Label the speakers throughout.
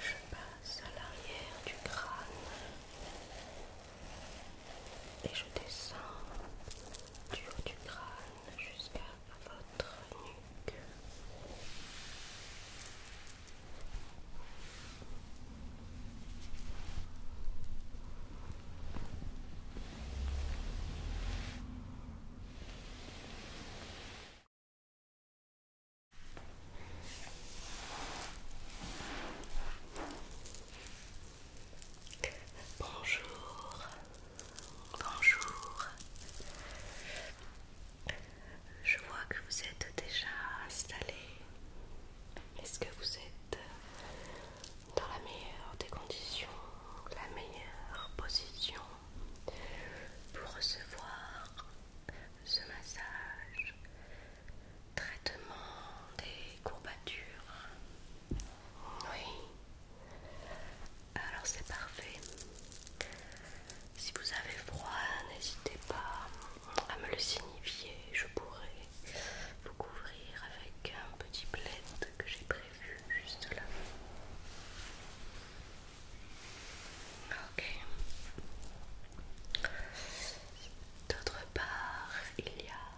Speaker 1: Je passe à l'arrière du crâne et je descends du haut du crâne jusqu'à votre nuque. Bonjour, bonjour. Je vois que vous êtes déjà installé. Est-ce que vous êtes dans la meilleure des conditions, la meilleure position pour recevoir ce massage, traitement des courbatures Oui. Alors c'est parfait. Si vous avez froid, n'hésitez pas à me le signifier. Je pourrai vous couvrir avec un petit plaid que j'ai prévu juste là. Ok. D'autre part, il y a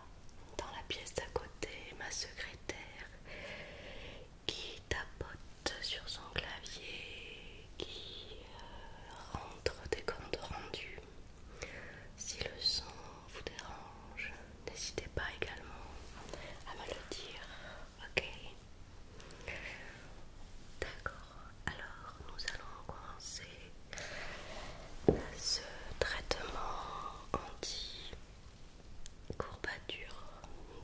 Speaker 1: dans la pièce d'à côté ma secrétaire qui tapote sur son clavier, qui euh, rentre des comptes rendus. Si le son vous dérange, n'hésitez pas également à me le dire, ok D'accord, alors nous allons commencer ce traitement anti courbature.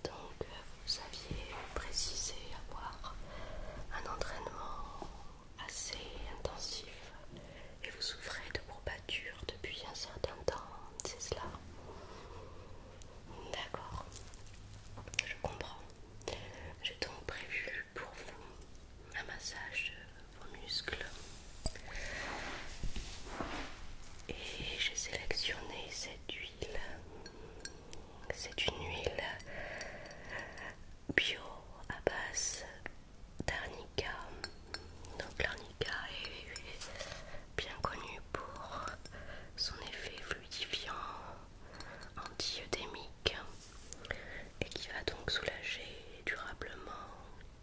Speaker 1: Donc euh, vous aviez précisé avoir un entraînement assez intensif et vous souffrez de courbatures depuis un certain temps, c'est cela D'accord, je comprends. J'ai donc prévu pour vous un massage de vos muscles. Et j'ai sélectionné cette huile c'est une huile bio à base d'arnica. Donc l'arnica est bien connue pour son effet fluidifiant antiodémique et qui va donc soulager durablement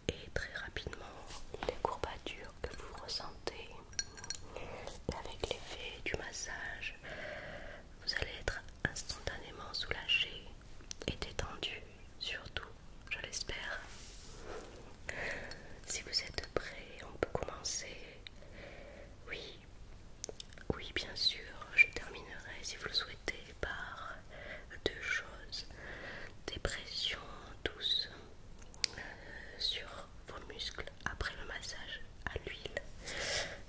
Speaker 1: et très rapidement les courbatures que vous ressentez avec l'effet du massage, vous allez être instantanément soulagé et détendu, surtout, je l'espère. Si vous êtes prêt, on peut commencer. Oui, oui, bien sûr, je terminerai si vous le souhaitez par deux choses. Des pressions douces euh, sur vos muscles après le massage à l'huile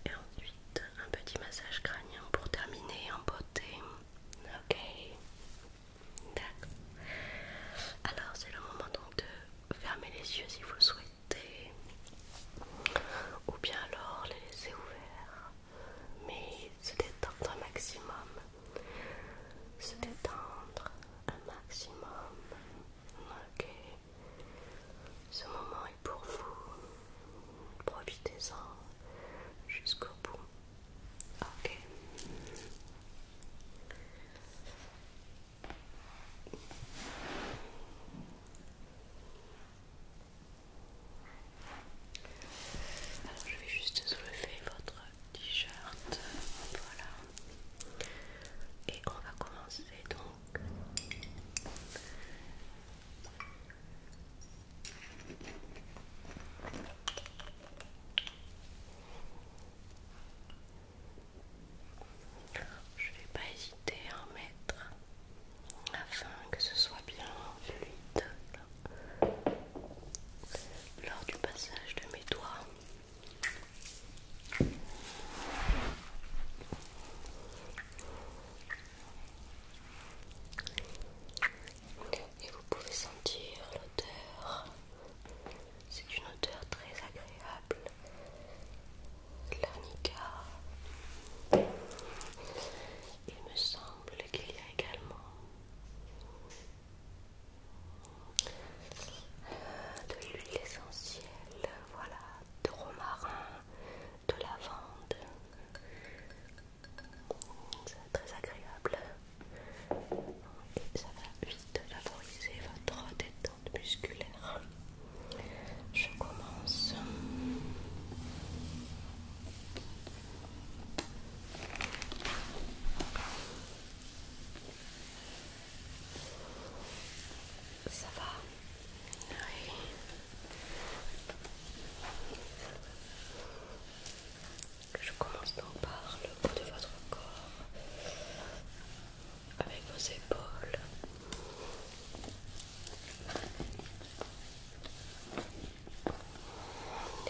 Speaker 1: et ensuite un petit massage crânien pour terminer en beauté. Ok, d'accord. Alors c'est le moment donc de fermer les yeux si vous souhaitez, ou bien alors les laisser ouverts, mais se détendre un maximum, se détendre un maximum. Ok. Ce moment est pour vous. Profitez-en jusqu'au bout. Ok. Alors je vais juste soulever votre t-shirt, voilà. Et on va commencer donc. Je vais pas hésiter à en mettre afin que ce soit bien fluide lors du passage de mes doigts. Et vous pouvez sentir l'odeur. C'est une odeur très agréable. L'arnica. Il me semble qu'il y a également de l'huile essentielle, voilà, de romarin, de lavande, c'est très agréable ça va vite favoriser votre détente musculaire. Je commence. Ça va Oui. Je commence donc par le bout de votre corps, avec vos épaules.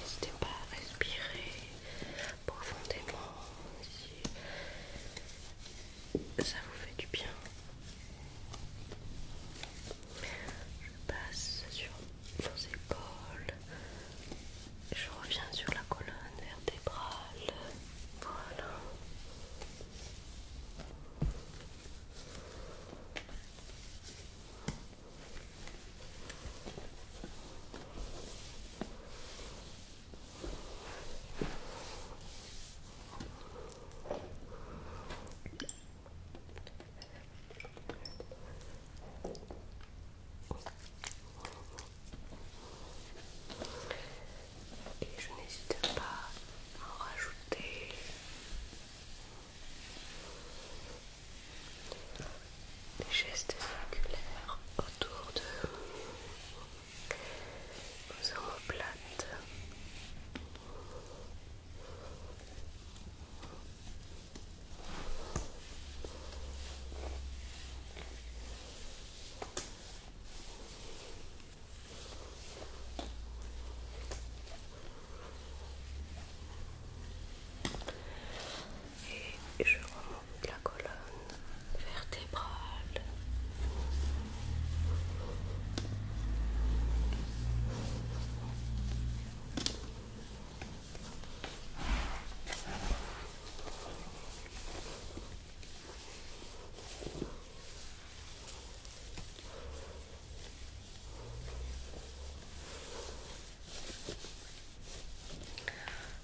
Speaker 1: N'hésitez pas à respirer profondément si ça vous fait du bien. Je passe sur vos épaules. Je reviens sur la colonne vertébrale. Voilà. Et je n'hésite pas à en rajouter des gestes circulaires autour de vos omoplates et je remonte la colonne vertébrale.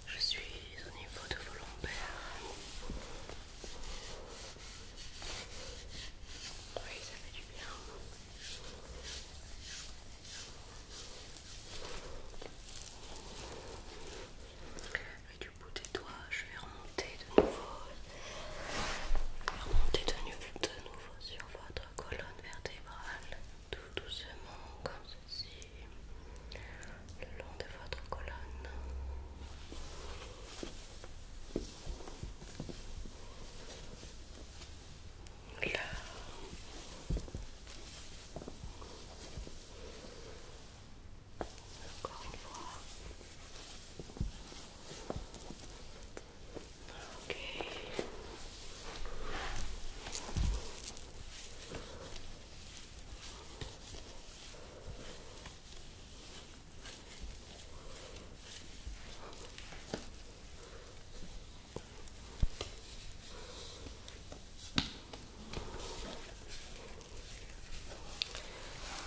Speaker 1: Je suis au niveau de vos lombaires. Oui, ça fait du bien. Et du bout des doigts, je vais remonter de nouveau. remonter de nouveau, de nouveau sur votre colonne vertébrale, tout doucement comme ceci le long de votre colonne. Là. Encore une fois. Ok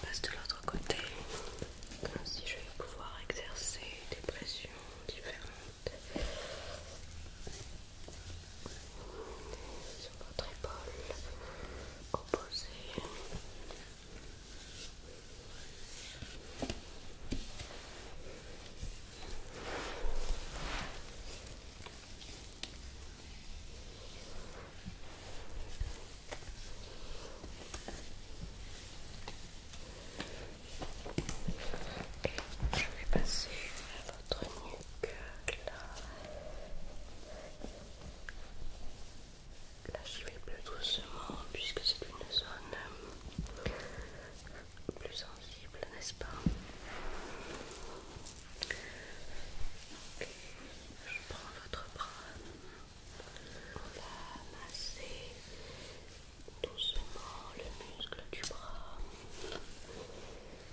Speaker 1: passe de l'autre côté, comme si je vais pouvoir exercer des pressions différentes sur votre épaule opposée. Et je vais passer à votre nuque. Donc là, là j'y vais plus doucement puisque c'est une zone euh, plus sensible, n'est-ce pas Je prends votre bras, on va masser doucement le muscle du bras.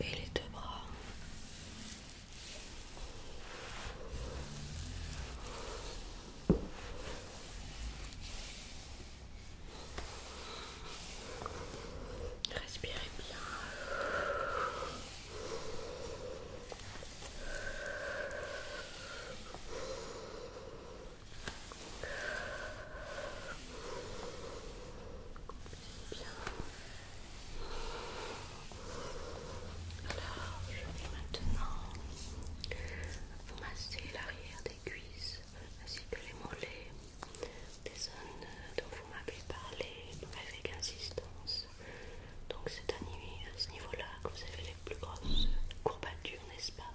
Speaker 1: et les deux bras. Respirez bien. Alors, je vais maintenant vous masser l'arrière des cuisses ainsi que les mollets, des zones dont vous m'avez parlé avec insistance. Donc, c'est à ce niveau-là que vous avez les plus grosses courbatures, n'est-ce pas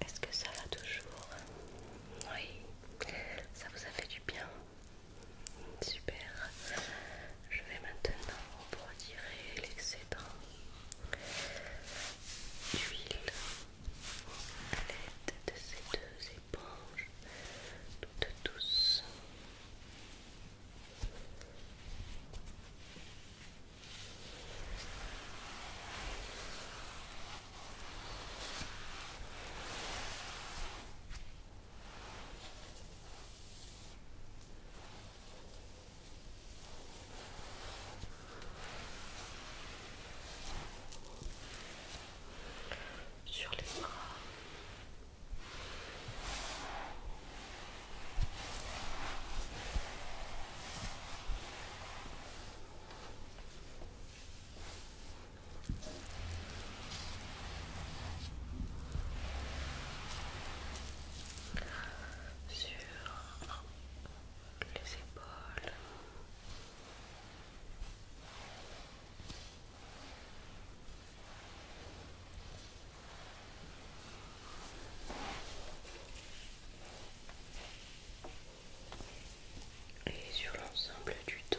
Speaker 1: Est-ce que ça va toujours Oui, ça vous a fait du bien. Super. Je vais maintenant retirer l'excédent d'huile à l'aide de ces deux éponges toutes douces sur les bras sur les épaules. Et sur l'ensemble du dos.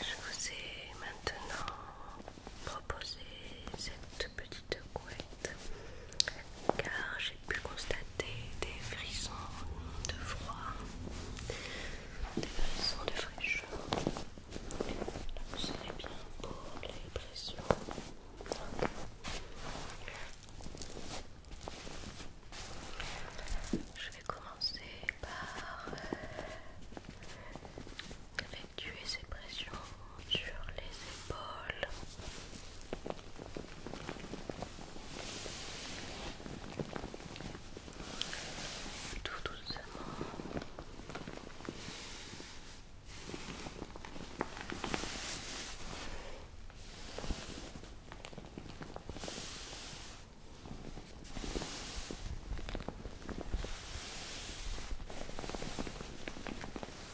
Speaker 1: Je vous ai maintenant proposé cette petite couette car j'ai pu constater des frissons de froid, des frissons de fraîcheur. Donc c'est bien pour les pressions. Je vais commencer par euh, effectuer ces pressions sur les épaules. Tout doucement. Voilà.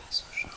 Speaker 1: Je passe au genre.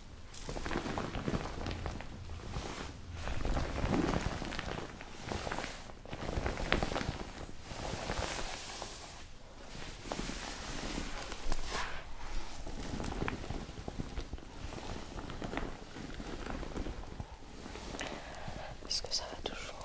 Speaker 1: Est-ce que ça va toujours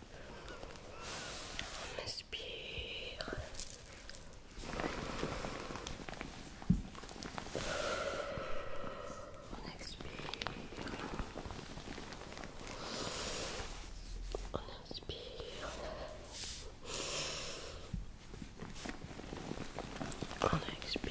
Speaker 1: On inspire. On expire. On inspire. On expire.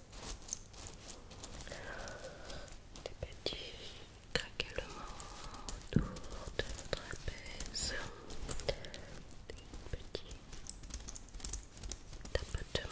Speaker 1: des petits craquements autour de votre trapèze, des petits tapotements.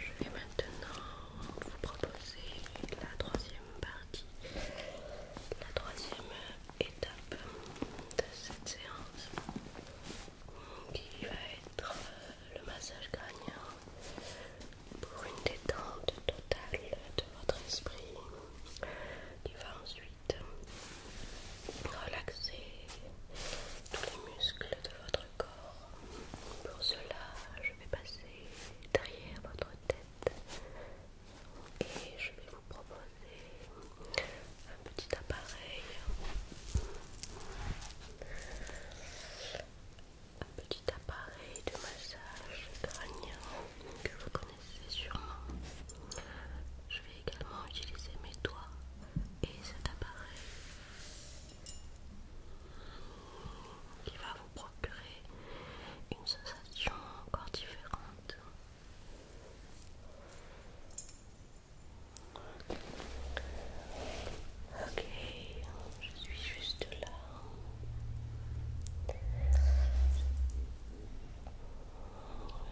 Speaker 1: Je vais maintenant vous proposer la troisième partie, la troisième étape de cette séance qui va être euh, le massage gagnant pour une détente totale de votre esprit qui va ensuite relaxer tous les muscles de votre corps. Pour cela, je vais passer derrière votre tête et je vais vous proposer un petit appareil un petit appareil de massage crânien que vous connaissez sûrement je vais également utiliser mes doigts et cet appareil qui va vous procurer une sensation encore différente Ok, je suis juste là.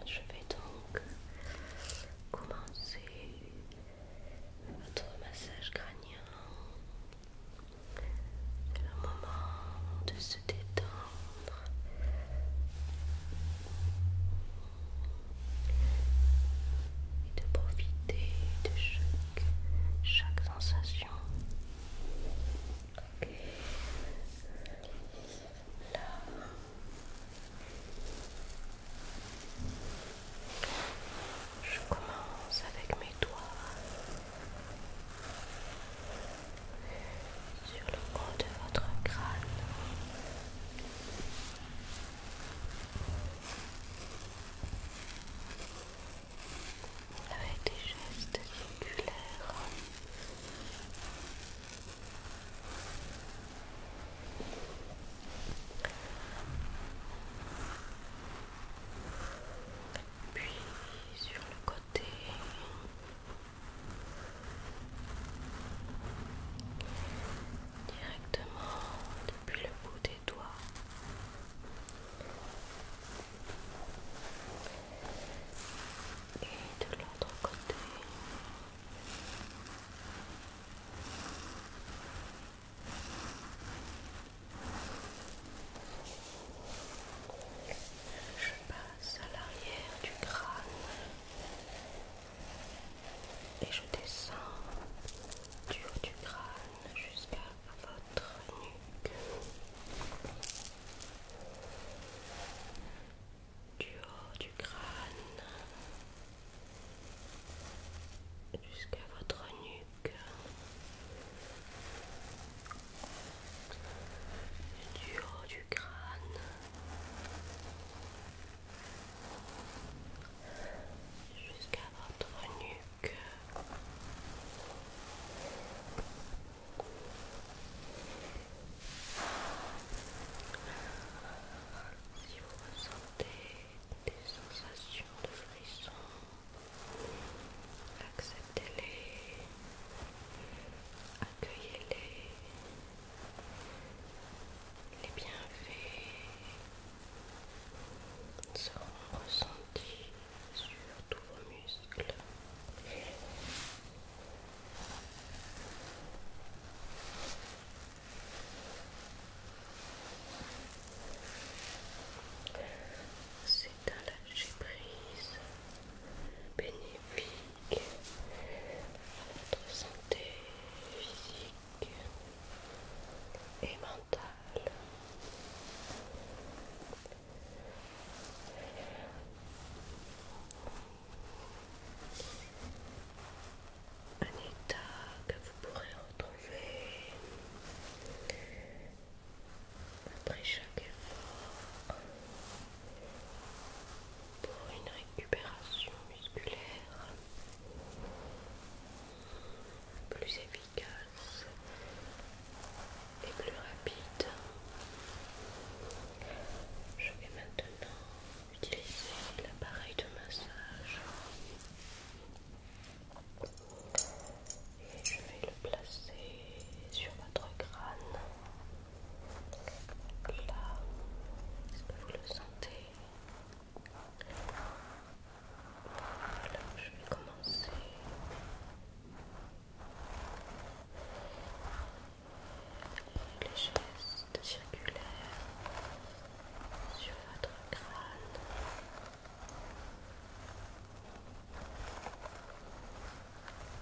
Speaker 1: Je vais donc commencer votre massage crânien. C'est le moment de se détendre. Et de profiter de chaque, chaque sensation. Je commence avec mes doigts sur le haut de votre crâne. Avec des gestes circulaires. Puis sur le côté, directement depuis le bout des doigts. Et de l'autre côté. Je passe à l'arrière du crâne et je descends du haut du crâne jusqu'à votre nuque. Du haut du crâne jusqu'à votre nuque du haut du crâne jusqu'à votre nuque. Si vous ressentez des sensations de frisson, acceptez-les. Accueillez-les, les bienfaits seront ressentis sur tous vos muscles dans la bénéfique à votre santé physique et mentale. Un état que vous pourrez retrouver après chaque effort pour une récupération musculaire plus efficace et plus rapide. Je vais maintenant utiliser l'appareil de massage et je vais le placer sur votre crâne. Là, est-ce que vous le sentez Alors, je vais commencer. Les gestes circulaires sur votre crâne.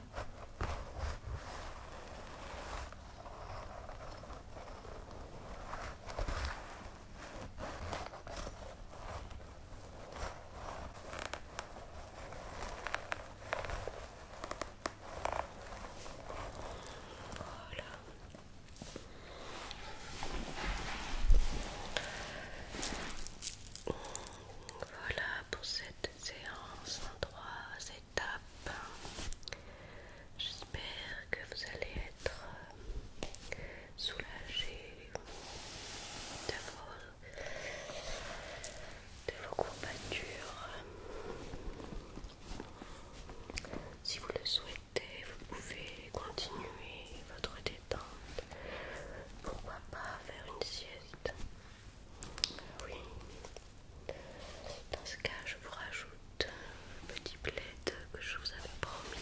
Speaker 1: Voilà. pour cette séance en trois étapes. J'espère que vous allez être soulagé de vos, de vos courbatures. Si vous le souhaitez, vous pouvez continuer votre détente. Pourquoi pas faire une sieste oui. Dans ce cas, je vous rajoute un petit plaid que je vous avais promis.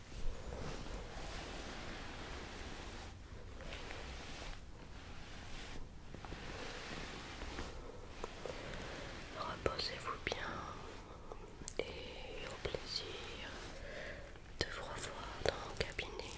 Speaker 1: Reposez-vous bien et au plaisir de vous revoir dans mon cabinet.